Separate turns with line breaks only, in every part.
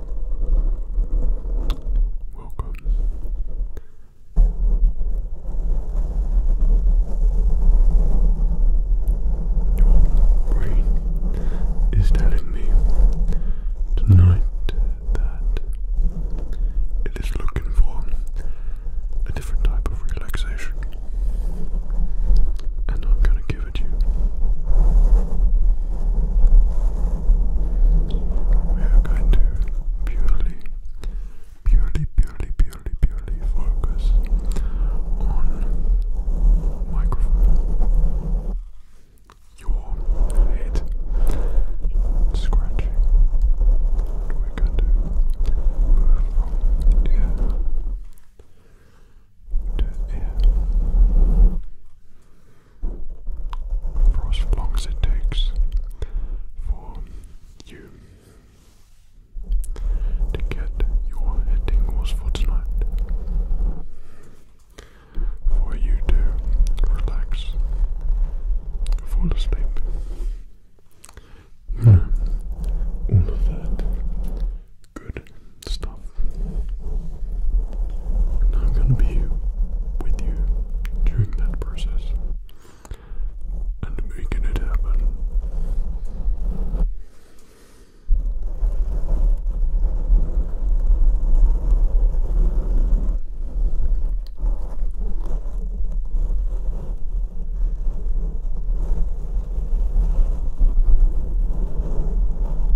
Welcome. Your brain is telling me tonight that it is looking for a different type of relaxation, and I'm going to give it you. We are going to purely, purely, purely, purely, purely focus on microphone. Your head scratching. And we're going to move from ear to ear for as long as it takes for you to get your head tingles for tonight. For you to relax, fall asleep. all of that good stuff. And I'm going to be with you during that process and making it happen.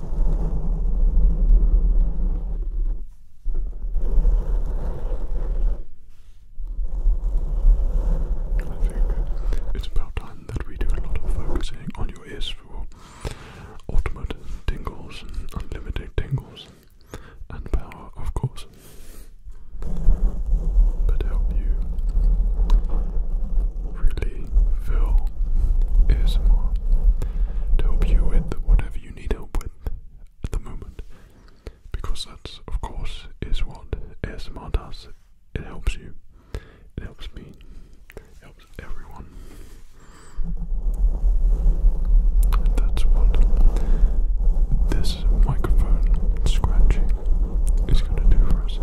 I think it's about time that we do a lot of focusing on your ears for ultimate tingles and unlimited tingles and power, of course. But help you really Phil ASMR to help you with whatever you need help with at the moment. Because that's of course is what Esma does. It helps you. It helps me. It helps everyone. And that's what this microphone scratching is gonna do for us.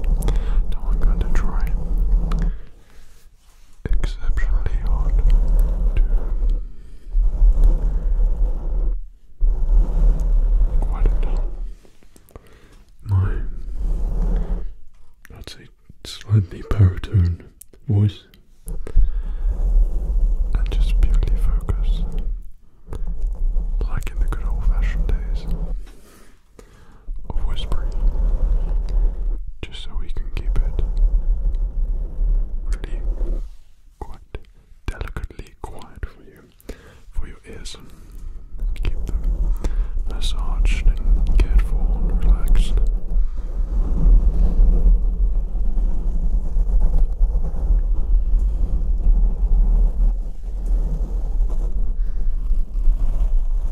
Now I'm going to try exceptionally hard to quiet down. My, I'd say, slightly baritone voice, and just purely focus, like in the good old fashioned days of whispering, just so we can keep it really quite delicately quiet for you, for your ears, and keep them massaged and cared for and relaxed.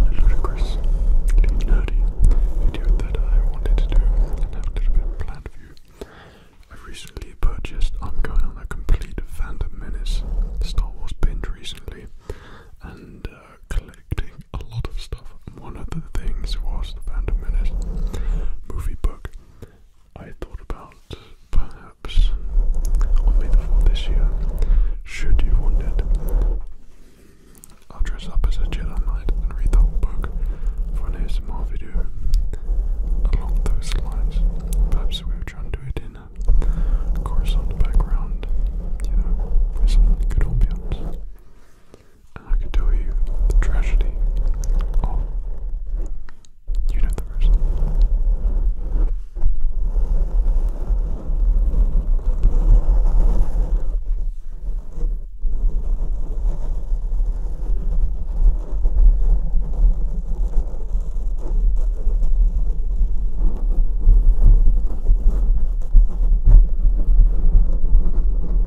ludicrous, nerdy video that I wanted to do and have a little bit planned for you. I recently purchased, I'm going on a complete Phantom Menace Star Wars binge recently and uh, collecting a lot of stuff. One of the things was the Phantom Menace movie book. I thought about perhaps on May the 4th this year, should you want it, I'll dress up as a Jedi Knight and read the whole book for an ASMR video along those lines. Perhaps we were trying to do it in a chorus on the background, you know, for some good ambience. And I can tell you the tragedy of you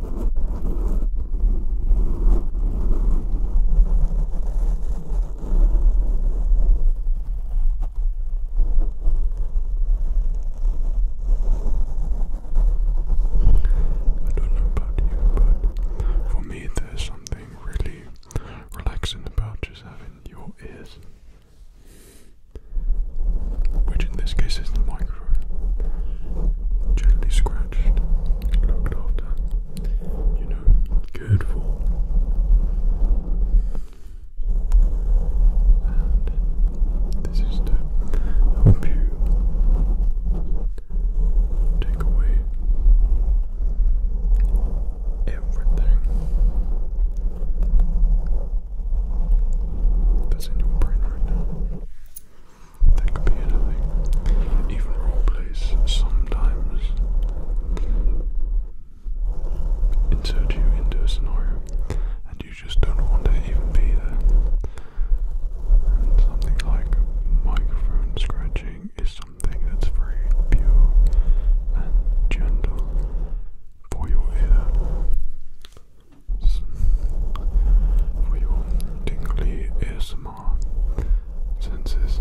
I don't know about you, but for me, there's something really relaxing about just having your ears, which in this case is the microphone gently scratched, looked after, you know, cared for. And this is to help you take away everything that's in your brain right now. That could be anything. Even role plays sometimes insert you into a scenario and you just don't want to even be there. something like microphone scratching is something that's very pure and gentle for your ear, for your tingly ears more senses.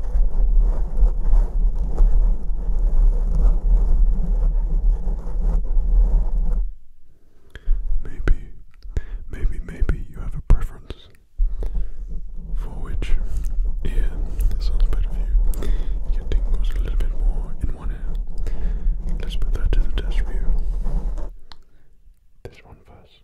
Maybe, maybe, maybe you have a preference for which ear sounds better for you. Get tingles a little bit more in one ear. Let's put that to the test for you. This one first.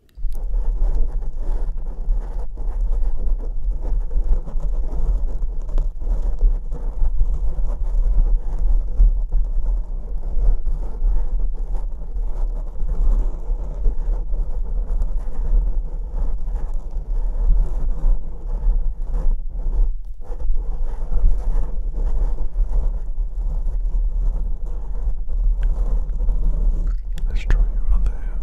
Let's try your other hand.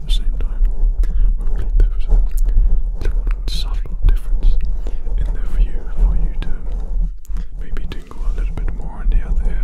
at the same time. Hopefully a subtle difference in their view for you to maybe tingle a little bit more on the other ear.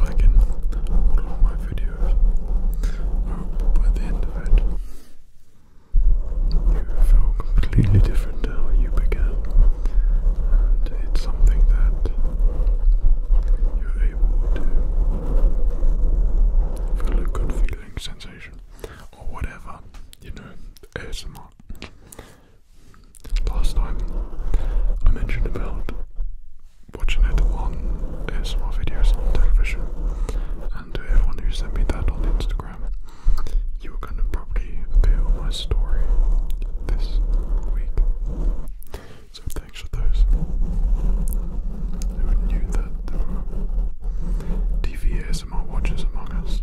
liking all of my videos. hope by the end of it you feel completely different to you began. And it's something that you're able to feel a good feeling, sensation, or whatever, you know, ASMR last time I mentioned about watching it on ASMR videos on television, and to everyone who sent me that on Instagram, you were going to probably appear on my story this week. So thanks for those who knew that there were TV watchers among us.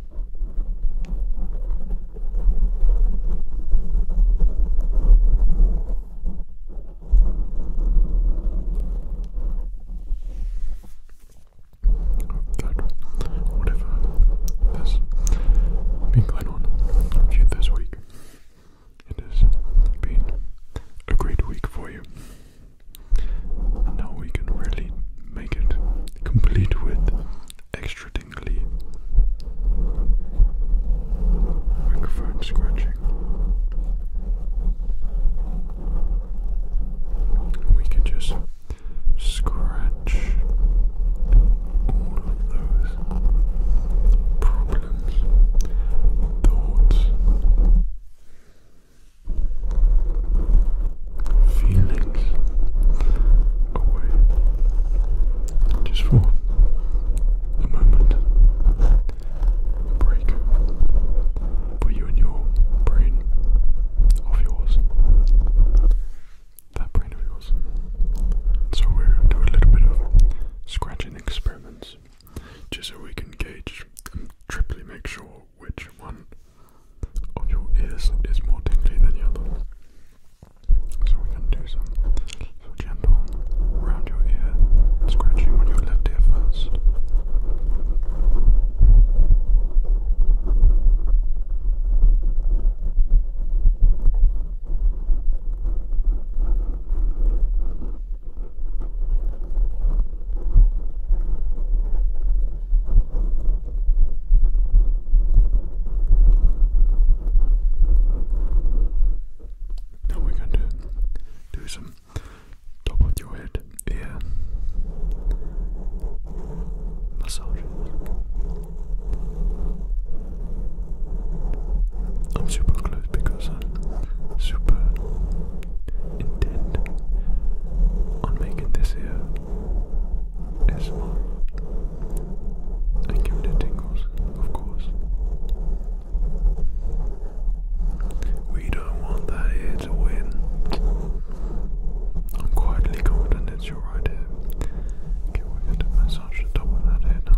that whatever has been going on with you this week, it has been a great week for you. now we can really make it complete with extra tingly microphone scratching. We can just scratch all of those problems, thoughts feelings away just for a moment. A break for you and your brain of yours. That brain of yours. So we'll do a little bit of scratching experiments just so we can gauge and triply make sure which one of your ears is more tingly than the other. So we can do some so gentle around your ear, scratching on your left ear first. Now we're going to do some top of your head ear massages. I'm super close because I'm super intent on making this ear ASMR and give it tingles, of course. We don't want that here to win. I'm quietly confident it's your right here. Okay, we're to massage that head now.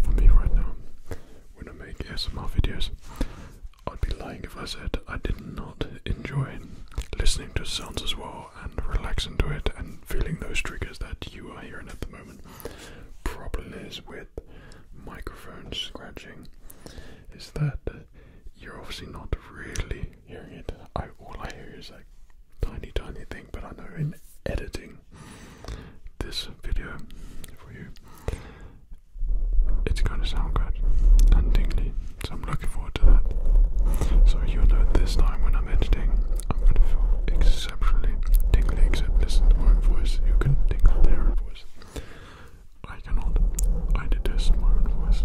for me right now, when I make ASMR videos, I'd be lying if I said I did not enjoy listening to sounds as well and relax into it and feeling those triggers that you are hearing at the moment. Problem is with microphones scratching is that you're obviously not really hearing it. all I hear is a tiny tiny thing but I know in editing this video for you it's gonna sound good and so I'm looking forward to that. So you know this time when I'm editing, I'm going to feel exceptionally tingly, except listen to my own voice. You can tingle their voice. I cannot. I detest my own voice.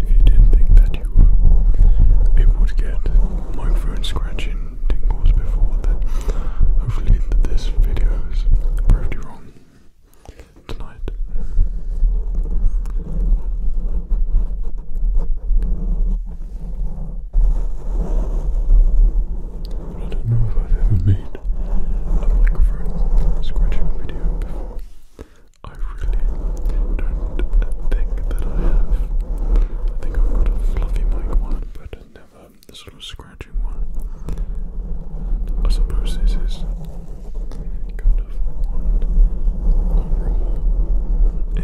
If you didn't think that you were able to get microphone scratching tingles before, then hopefully this video has proved you wrong tonight. I don't know if I've ever made a microphone scratching video before. I really don't think that I have. I think I've got a fluffy mic one, but never um, this the scratching one. I suppose this is kind of raw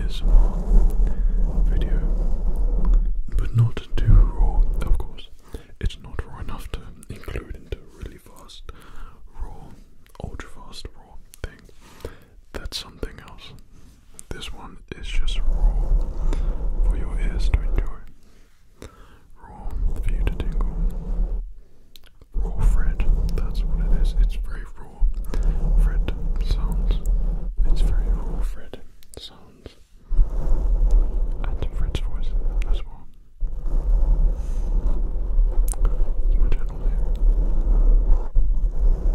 ASMR video, but not too raw, of course. It's not raw enough to include into really fast, raw, ultra fast, raw thing. That's something else. This one is just raw for your ears to enjoy. Raw for you to tingle. Raw Fred, that's what it is. It's very raw. Fred sounds. It's very raw Fred sounds. And Fred's voice as well. My channel here.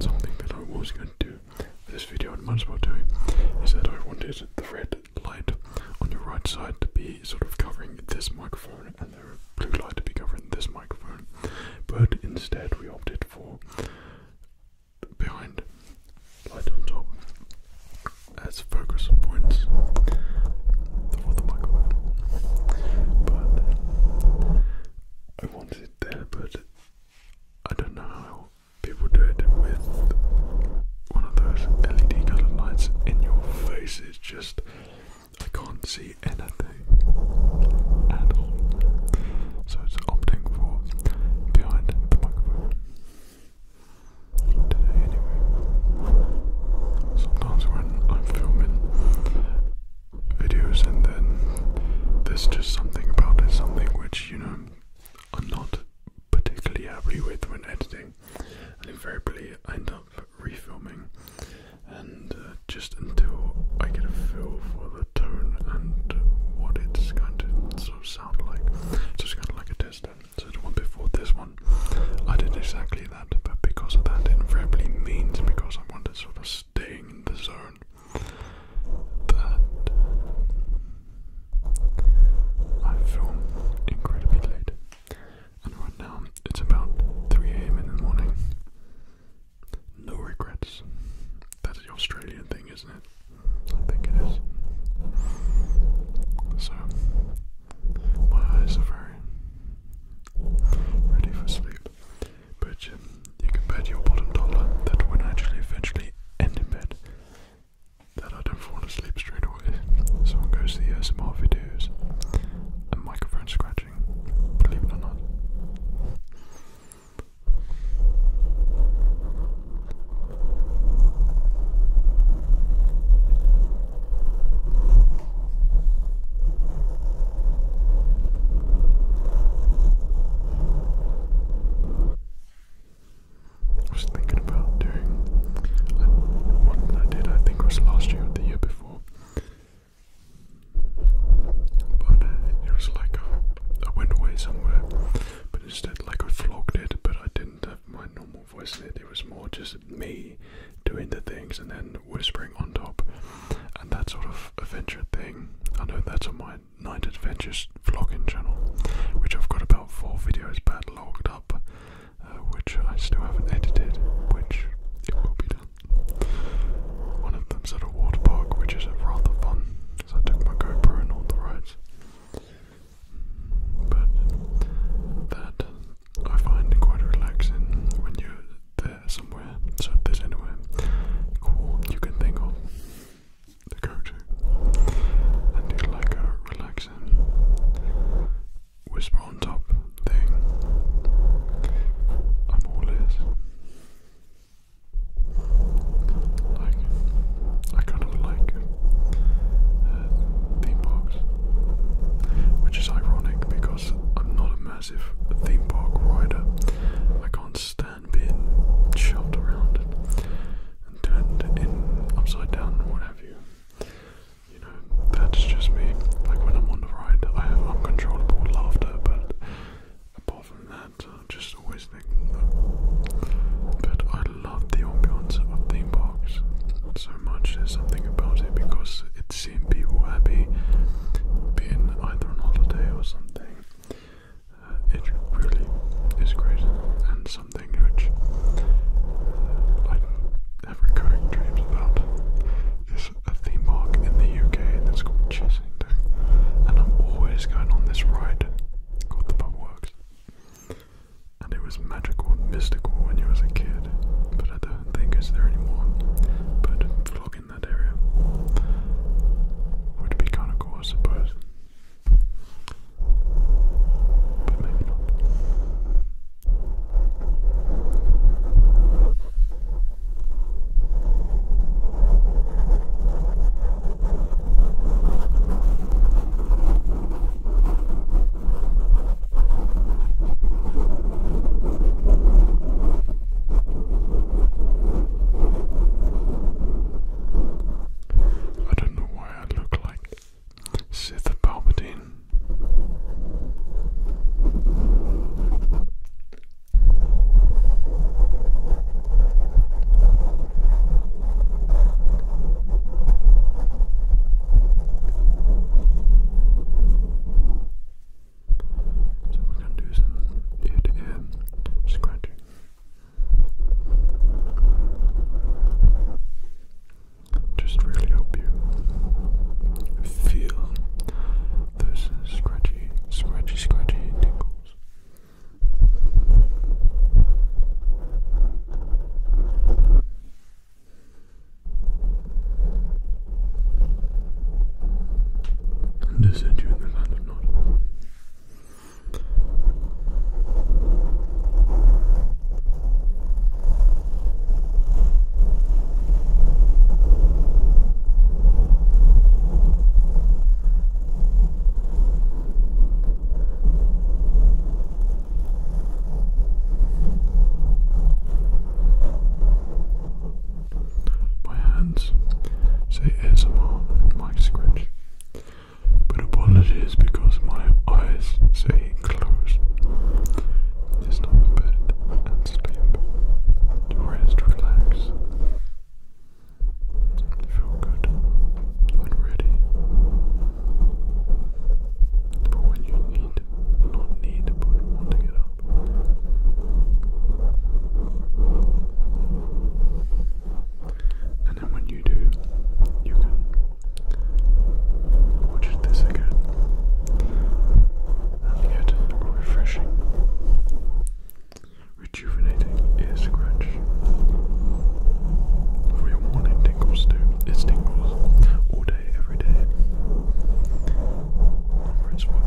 something that I was going to do this video, I might as well do it, is that I wanted the red light on your right side to be sort of covering this microphone and the blue light to be covering this microphone, but instead we opted for behind light on top as focus points the microphone. But I wanted it but I don't know how people do it with one of those LED colored lights in your face. It's just I can't see anything at all. So it's opting for behind the microphone. Sometimes when I'm filming videos and then there's just something about it, something which, you know, I'm not particularly happy with when editing, and invariably I end up refilming, and uh, just until I get a feel for the tone and what it's going to sort of sound like. So it's kind of like a test system. So the one before this one, I did exactly that, but because of that it invariably means because I wanted sort of staying in the zone. That um, I film incredibly late. And right now it's about 3 a.m. in the morning. No regrets. That is the Australian thing, isn't it? I think it is. So my eyes are very ready for sleep. But um, you can bet your bottom dollar that when I actually eventually end in bed, that I don't fall asleep straight away. Someone goes to the ASMR videos and microphone scratching, believe it or not. I was thinking about doing I, one I did, I think, was last year or the year before. But uh, it was like a, I went away somewhere, but instead, like I vlogged it, but I didn't have my normal voice in it. It was more just me doing the things and then whispering on top and that sort of adventure thing. I know that's on my Night Adventures vlogging channel, which I've got about four videos back logged up, uh, which I still haven't edited, which it will be done. One of them's at a water park, which is rather fun, so I took my GoPro and all the rides. But that I find quite relaxing when you're there somewhere. So there's anywhere cool you can think of to go and do like a relaxing whisper on top thing. I'm all Like I kind of like theme parks, which is ironic because I'm not a massive theme park rider. I can't stand being shoved around and, turned in upside down and what have you. You know, that's just me. Like when I'm on the ride, I have uncontrollable laughter, but apart from that, I just always think. No. But I love the ambiance of theme parks so much. There's something about it because it seeing people happy, being either on holiday or something. Uh, it really is great and something which uh, I have recurring dreams about is a theme park in the UK that's called Chessington, and I'm always going on this ride called the Pub Works and it was magical and mystical when you was a kid, but I don't think it's there anymore. But vlogging that area would be kind of cool, I suppose. But maybe not. I don't know why I look like Sith Palpatine. So we're going to do some ear to ear Just really help you feel those scratchy, scratchy, scratchy tingles. And they sent you in the land of Nod. My hands say ASMR and scratch. But apologies because my eyes say close. It's not a bed and sleep. To rest, relax. Feel good and ready for when you need need, need, but want to get And then when you do, you can watch this again and get refreshing, rejuvenating ear scratch for your morning tingles too. It's tingles all day, every day. Great spots.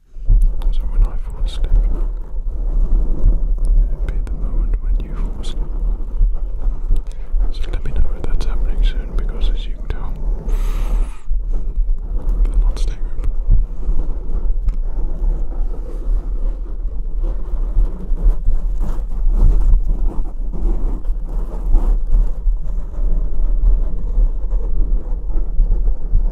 So when I fall asleep, it'll be the moment when you fall asleep. So let me know if that's happening soon because as you can tell, they're not staying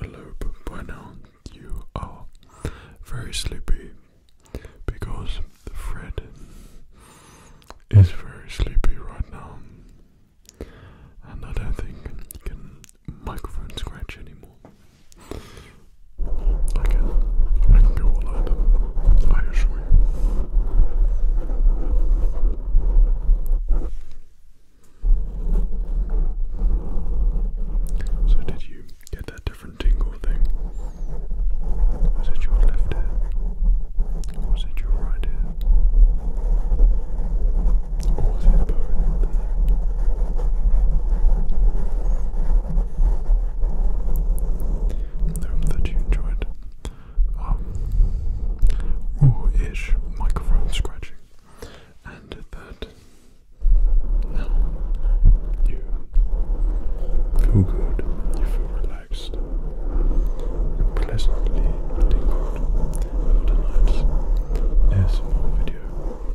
Hello, by You are very sleepy because Fred is very sleepy right now, and I don't think he can microphone scratch anymore. I can, I can do all I assure you. So did you get that different tingle thing? Was it your left ear? Was it your right ear? was it both? I hope that you enjoyed um, raw-ish microphone scratching and that you feel good, you feel relaxed, pleasantly tingled for tonight's ASMR video.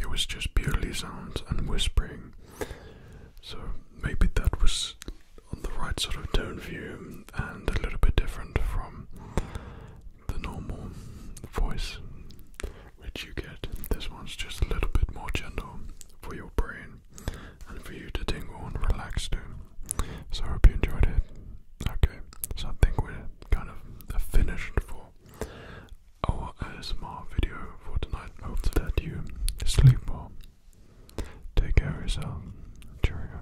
It was just purely sounds and whispering, so maybe that was on the right sort of tone view and a little bit different from the normal voice which you get. This one's just a little bit more gentle for your brain and for you to tingle and relax too. So I hope you enjoyed it. Okay, so I think we're kind of finished for our ASMR video for tonight. Hope that you sleep well. Take care of yourself. Cheerio.